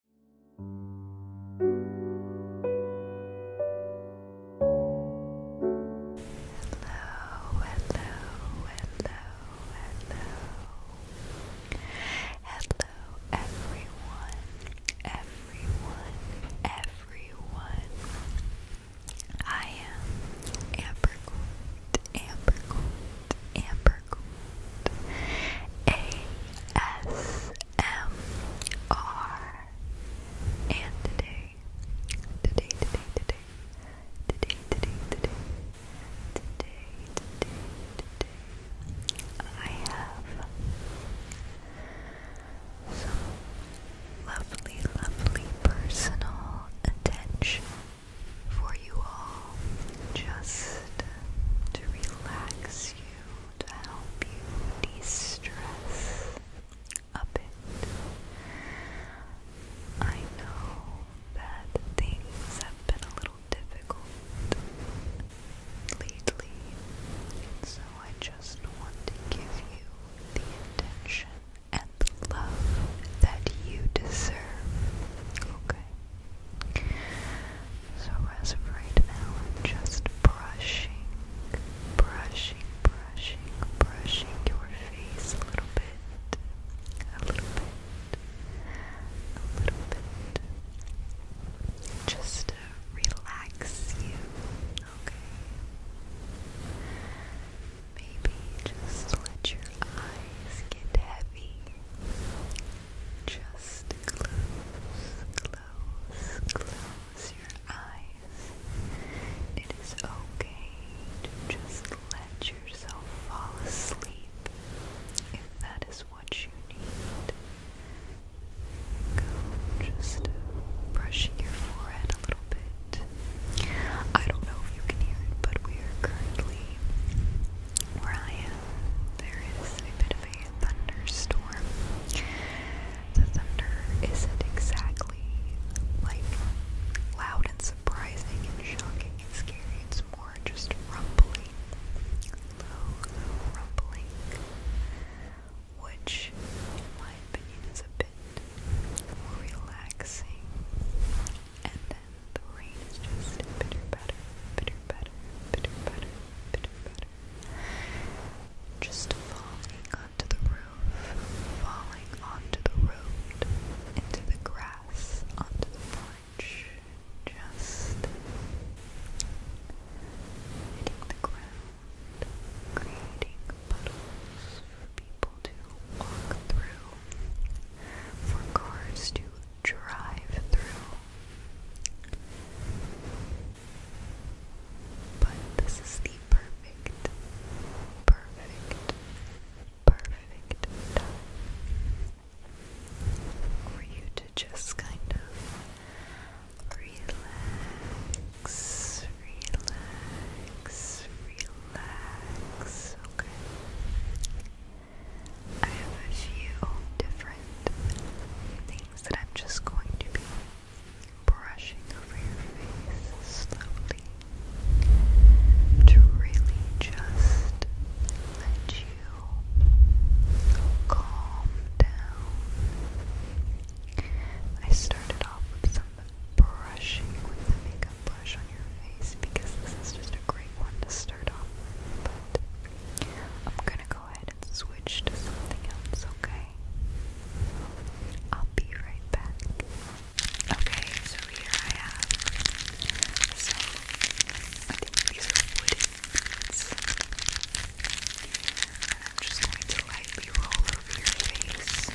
Hello, hello, hello, hello. Hello, everyone, everyone, everyone. I am Amber Gould, Amber Gould, Amber Gould. A S ASMR. And today, today, today, today, today, today, today, today, today, today, I have some lovely, lovely personal attention for you all just to relax you to help you de-stress a bit. I know that things have been a little difficult lately, and so I just want to give you the attention and the love that you deserve. Okay. So as of right now, I'm just brushing, brushing, brushing, brushing your face a little bit, a little bit, a little bit. Just to relax you, okay? Maybe just let your eyes get heavy. Just close, close, close your eyes. It is okay just let yourself fall asleep if that is what you need. Go just brushing your forehead a little bit. I don't know if you can hear it, but we are currently where I am, there is a bit of a thunderstorm. The thunder isn't exactly like loud and surprising and shocking and scary, it's more just rumbling, low, rumbling, which, in my opinion, is a bit relaxing. And then the rain is just bitter, better, bitter, butter, bitter butter, bitter Just falling onto the roof, falling onto the road, into the grass, onto the porch. Just hitting the ground, creating puddles for people to walk through, for cars to drive through. But this is the perfect, perfect, perfect time for you to just kind of relax, relax, relax, okay? I have a few different things that I'm just going to be brushing over your face slowly to really just let you calm down. I started off with some brushing with the makeup brush on your face because this is just a great one to start off but I'm gonna go ahead and switch to something else, okay? I'll be right back. Okay, so here I have some, I these wooden bits. And I'm just going to lightly roll over your face.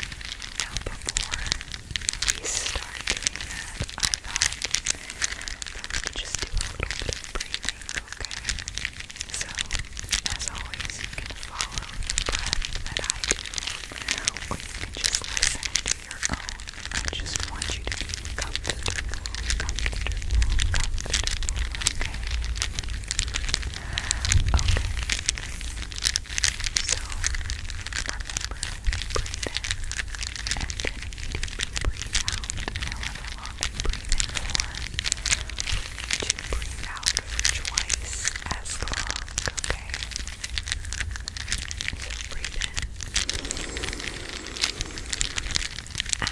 Now, before we start doing I thought that we could just do a little bit of breathing. Okay? So, as always, you can follow the breath that I do, or you can just listen to your own. I just want you to be comfortable, comfortable, comfortable, okay? Okay. So, remember, breathe in, and then deeply breathe out, long and breathe in for, breathe out twice as long, okay? breathe in. Out.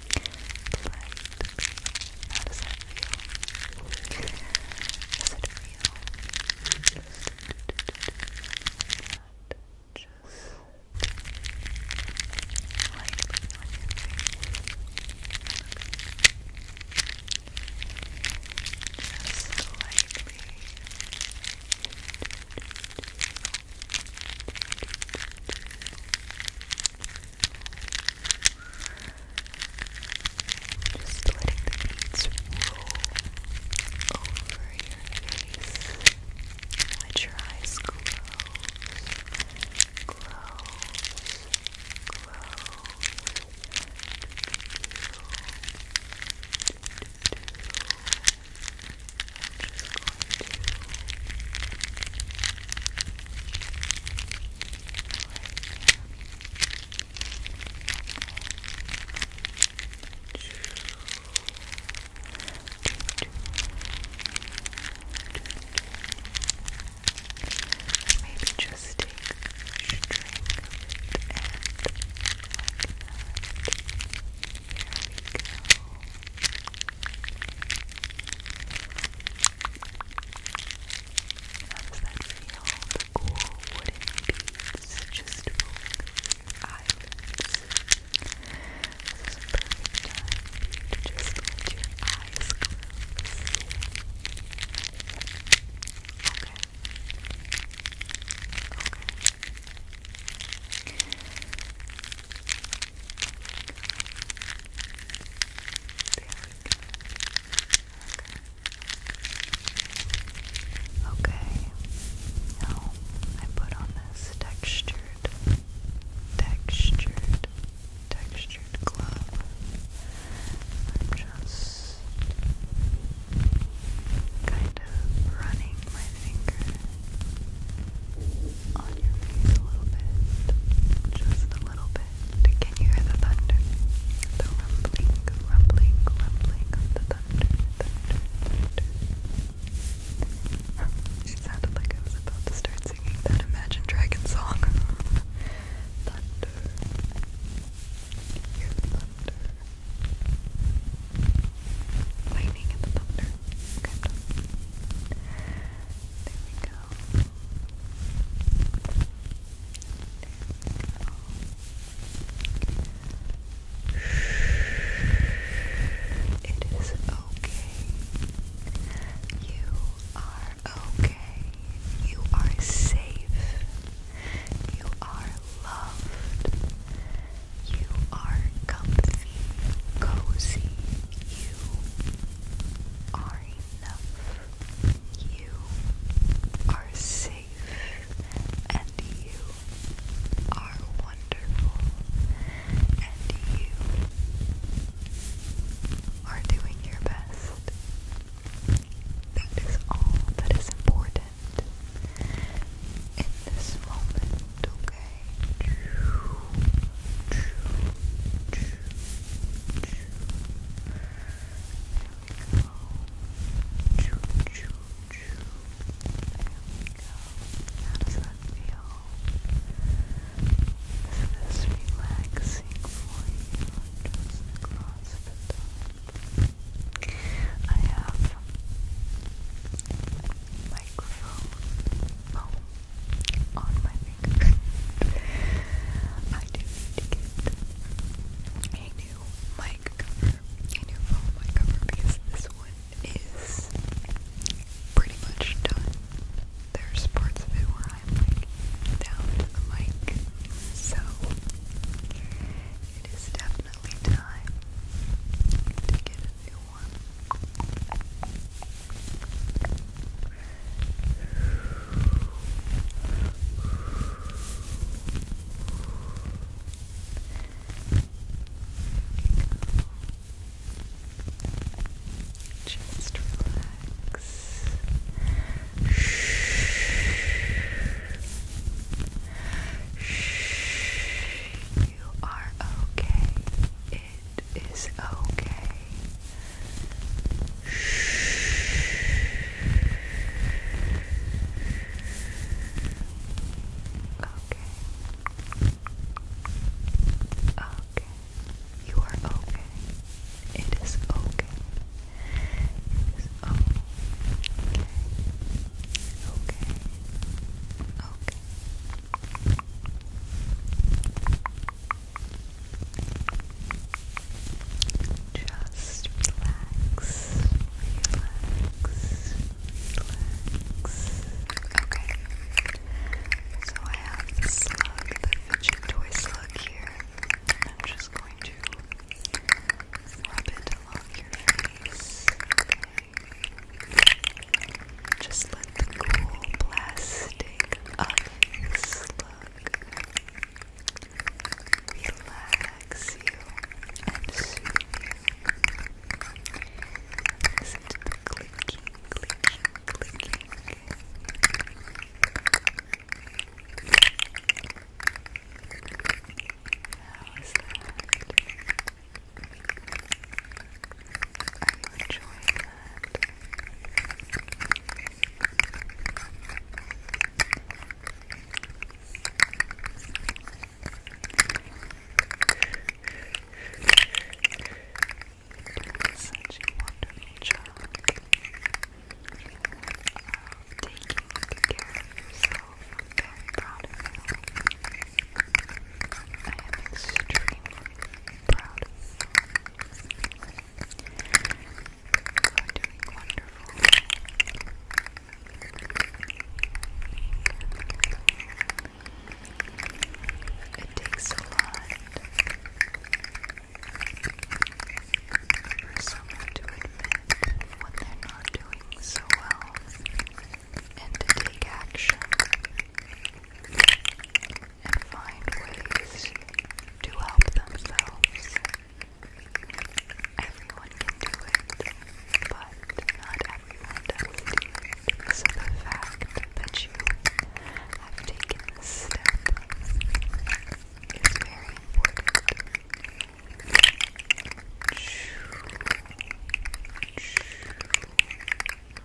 How does that feel? Does it feel? Just lightly on your face. Just lightly. Just lightly. Just letting the beads roll over your face. Let your eyes close, close, close. Maybe just take a string and Here we go. How does that feel? The cool wooden beads just rolling over your just let your eyes Okay. Okay go. Okay. Now I put on this textured, textured, textured glove. I'm just kind of running my finger on your face a little bit, just a little bit. Can you hear the thunder? The rumbling, rumbling, rumbling of the thunder, thunder, thunder. It sounded like I was about to start singing that Imagine Dragon song. thunder, thunder. Lightning and the thunder. There we go. There It is okay. You are okay. You are safe. You are loved. You are comfy, cozy. You are you are safe and you are wonderful and you are doing your best. That is all that is important in this moment, okay? How does that feel? Is this relaxing for you? Just across the top. I have microphone on my finger. I do need a new mic cover, a new phone mic cover because this one is pretty much done. There's parts of it where I'm like down to the mic, so it is definitely time to get a new one. Just relax. You are okay. It is okay. Okay. Okay. You are okay. It is okay. It is okay. Okay. Okay. Just relax, relax, relax. Okay. So I have the slug, the fidget toy slug here. I'm just going to rub it along your face. Just let cool plastic ovens look. Relax you and soothe you. Listen clicking, clicking, clicking. How is that? Are you perfect. Such a wonderful job taking care of yourself. proud of you. I am extremely proud of you. It takes a lot for someone to admit when they're not doing so well and to take action and find ways to help themselves. Everyone can do it, but not everyone does So the fact that you have taken this step is very important.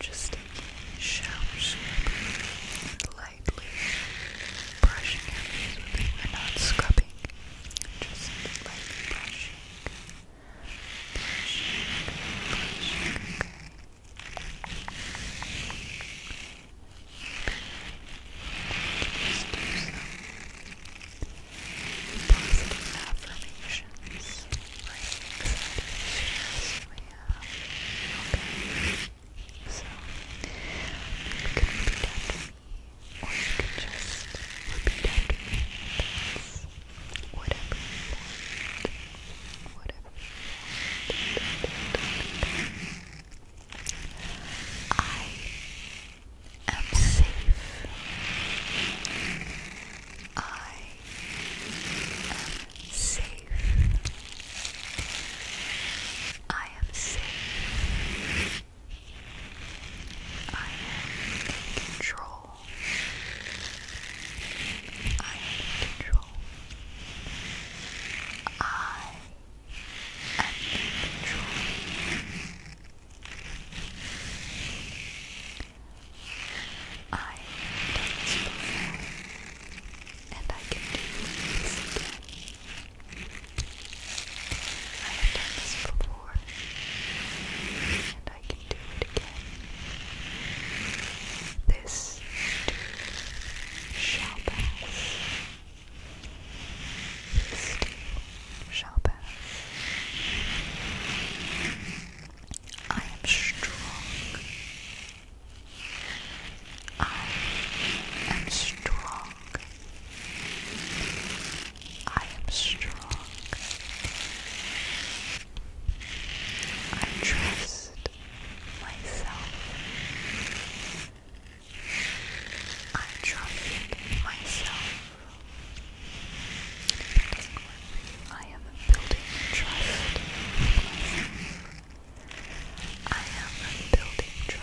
Just taking a shower lightly brushing your face with not scrubbing just like brushing, brushing, brushing, okay. Just do some positive affirmations, right? Yes, we have. Okay. So, you can repeat after or you can just repeat after me. That's whatever Whatever I am safe. I am safe. I am safe. I have control. I am control. I am in control. I have done this and I can do this I have done this before, and I can do it again. This shall pass. This shall pass. I am strong. I am strong. I am strong. I trust myself. I trust myself. I am building trust I am building trust.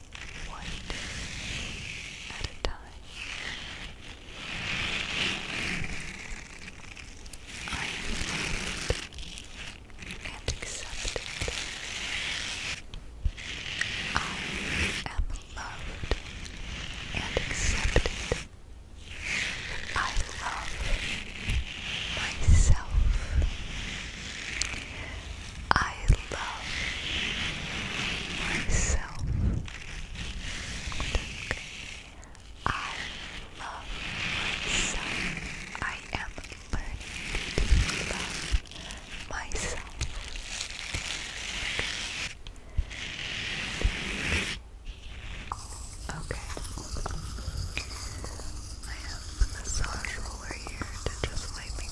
one at a time. I am loved and accepted. I am loved and accepted. I love myself. I love myself. I love myself. I am learning to love myself. Okay. I have the massage roller here to just wiping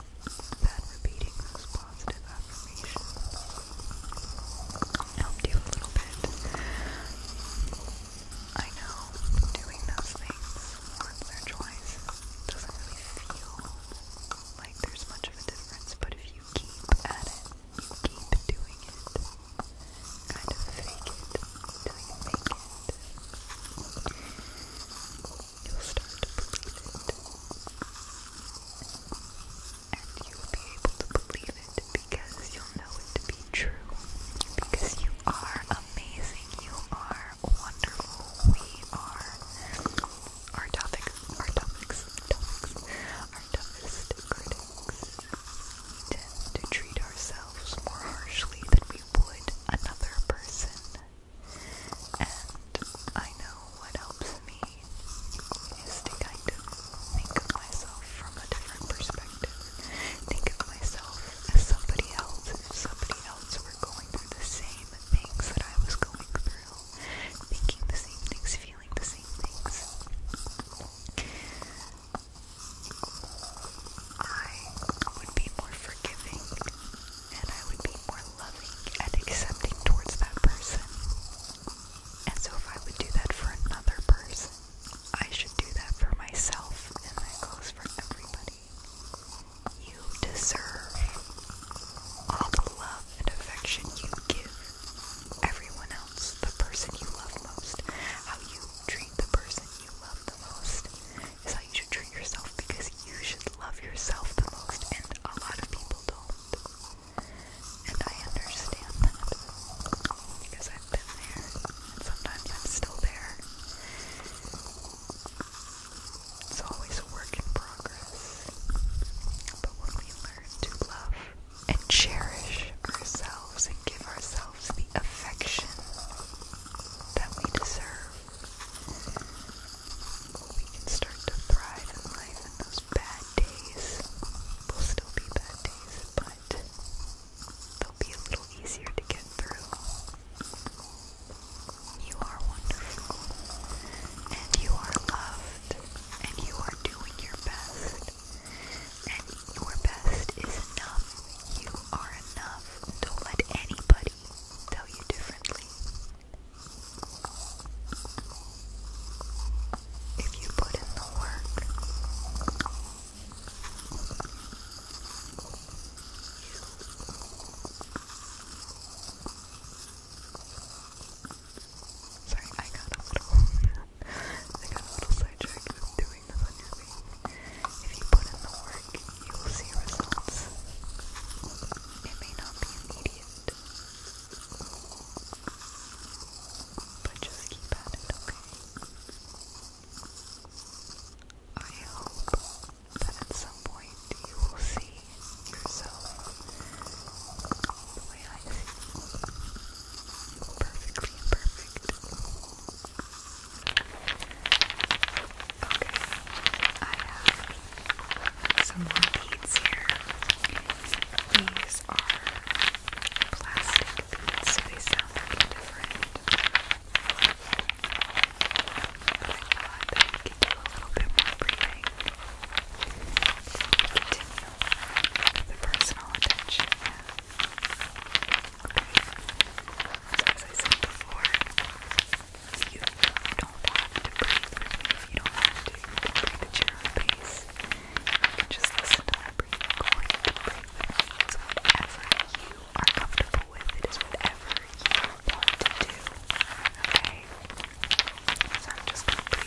that repeating those positive affirmations helped you a little bit. I know doing those things once or twice doesn't really feel like there's much of a difference, but if you keep at it, you keep doing it, kind of fake it, doing it, make it you'll start to believe it. And you'll be able to believe it because you'll know it to be true. Because you are amazing, you are wonderful, we are our topic, our topics, topics, our toughest critics. We tend to treat ourselves more harshly than we would another person. And I know what helps me is to kind of think of myself from a different perspective. Think of myself as somebody else. If somebody else were going through the same things that I was going through, thinking the same things, feeling the same things. I would be more forgiving and I would be more loving and accepting towards that person. And so, if I would do that for another person, I should do that for myself, and that goes for everybody. You deserve all the love and affection you give everyone else, the person you love most. How you treat the person you love the most is how you should treat yourself because you should love yourself the most, and a lot of people don't. And I understand that because I've been there sometimes i still there. It's always a work in progress. But when we learn to love and cherish ourselves and give ourselves the affection that we deserve, we can start to thrive in life and those bad days will still be bad days, but they'll be a little easier to get through. You are wonderful, and you are loved, and you are doing your best, and your best is enough. You are enough. Don't let anybody tell you differently. If you put in the work, sorry, I got a little, I got a little sidetracked doing the thunder If you put in the work, you will see results. It may not be immediate, but just keep at it, okay? I hope that at some point you will see yourself the way I see you. Perfectly perfect. Okay, I have some more beads here. These are plastic beads, so they sound different. But I a little bit more breathing. Continue with the personal attention. Okay. So as I said you don't have to breathe for me if you don't have to. breathe the chair. own pace. You can just listen to my breathing or you can breathe with me. It's whatever you are comfortable with. It is whatever you want to do. Okay? just going to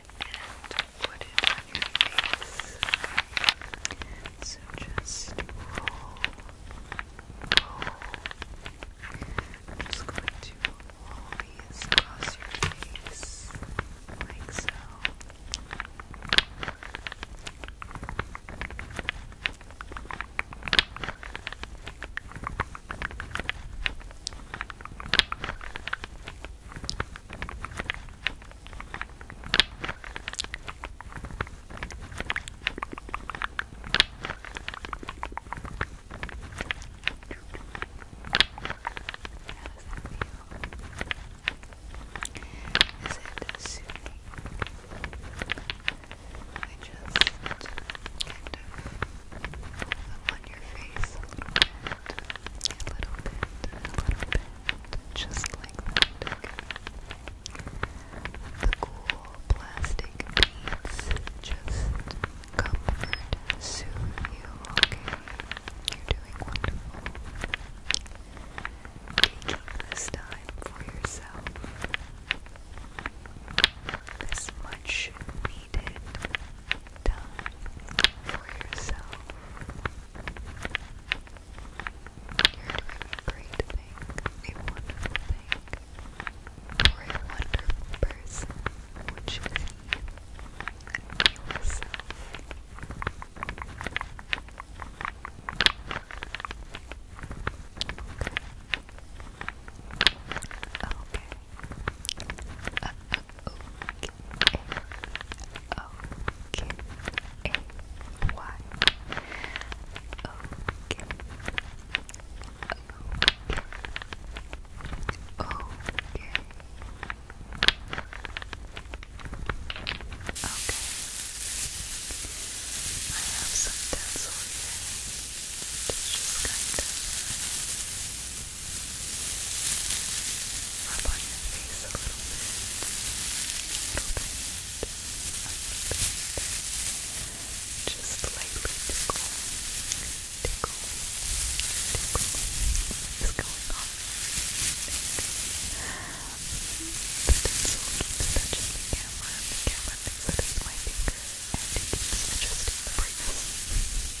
and put So just roll, roll. I'm just going to roll these across your face, like so. Is it soothing? I just kind of on your face a little bit, a little bit, a little bit, just like The cool plastic beads just comfort, soothe you, You're doing wonderful. Taking this time for yourself. This much needed for yourself. You're a great thing, a wonderful thing, for a wonderful person, which you, yourself. Okay. Uh, uh, okay. Okay. Why? Okay. Okay. Okay. Okay. I have some tinsel here. It's just kind of Rub on your face a little bit. Little bit. Little bit. Just lightly tickle. Tickle. Tickle. It's going on. The pencil keeps touching the camera. camera thinks that it's finger. And it keeps adjusting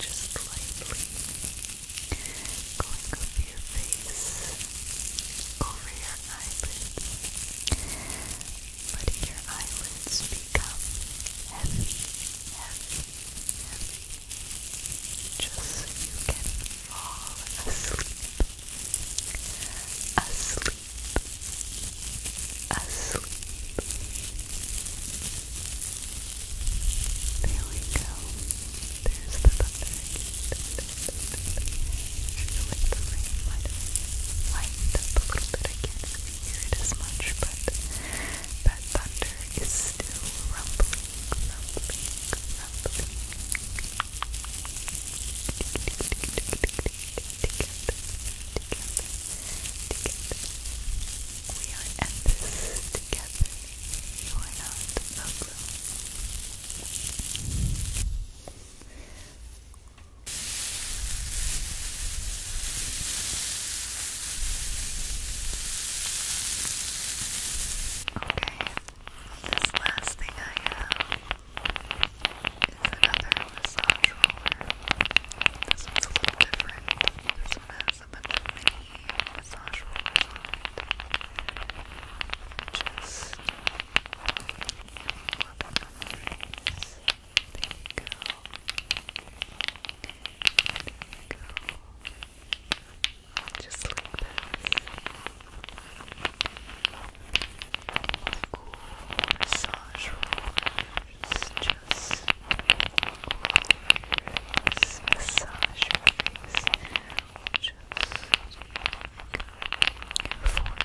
Just lightly going over your face, over your eyelids, letting your eyelids become heavy, heavy, heavy, just so you can fall asleep, asleep, asleep. There we go. There's the thunder. Should we let the rain light up, light up a little bit again? hear it as much, but that thunder is still rumbling, rumbling, rumbling. We are in together. You are not alone this last thing I have is another massage roller. This one's a little different. This one has a bunch of mini massage rollers on it. Just rubbing on the face. There you go. There we go. Just like this. Cool massage rollers. Just rollers. Massage rollers. Just. Forehead,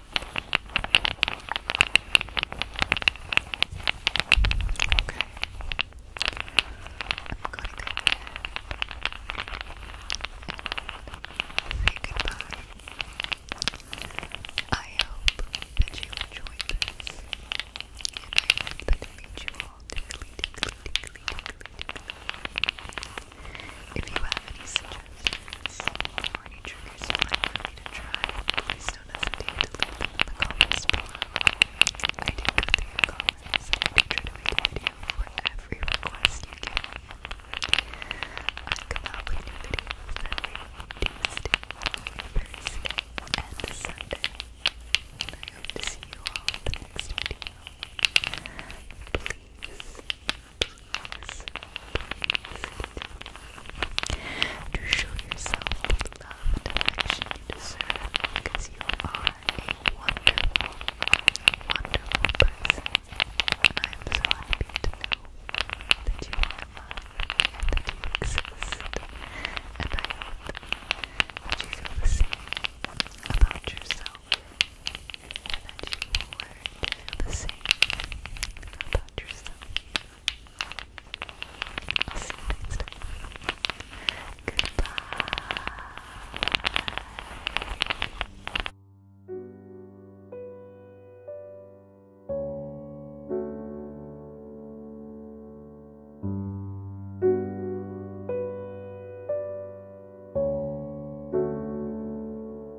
Okay. say goodbye. I hope that you enjoyed this. I hope that you all tickly, if you have any suggestions or any triggers you like for me to try, please don't hesitate to leave them in the comments below. I do go through your comments try to make a every request you give I come out with new videos every Tuesday, Thursday, and Sunday. I hope to see you all in the next video. Please to show yourself love and affection you deserve because you are a wonderful, wonderful person. And I am so happy to know that you are and that you exist. And I hope that you feel the same about yourself and that you will learn to the same about yourself. I'll see you next time. Goodbye.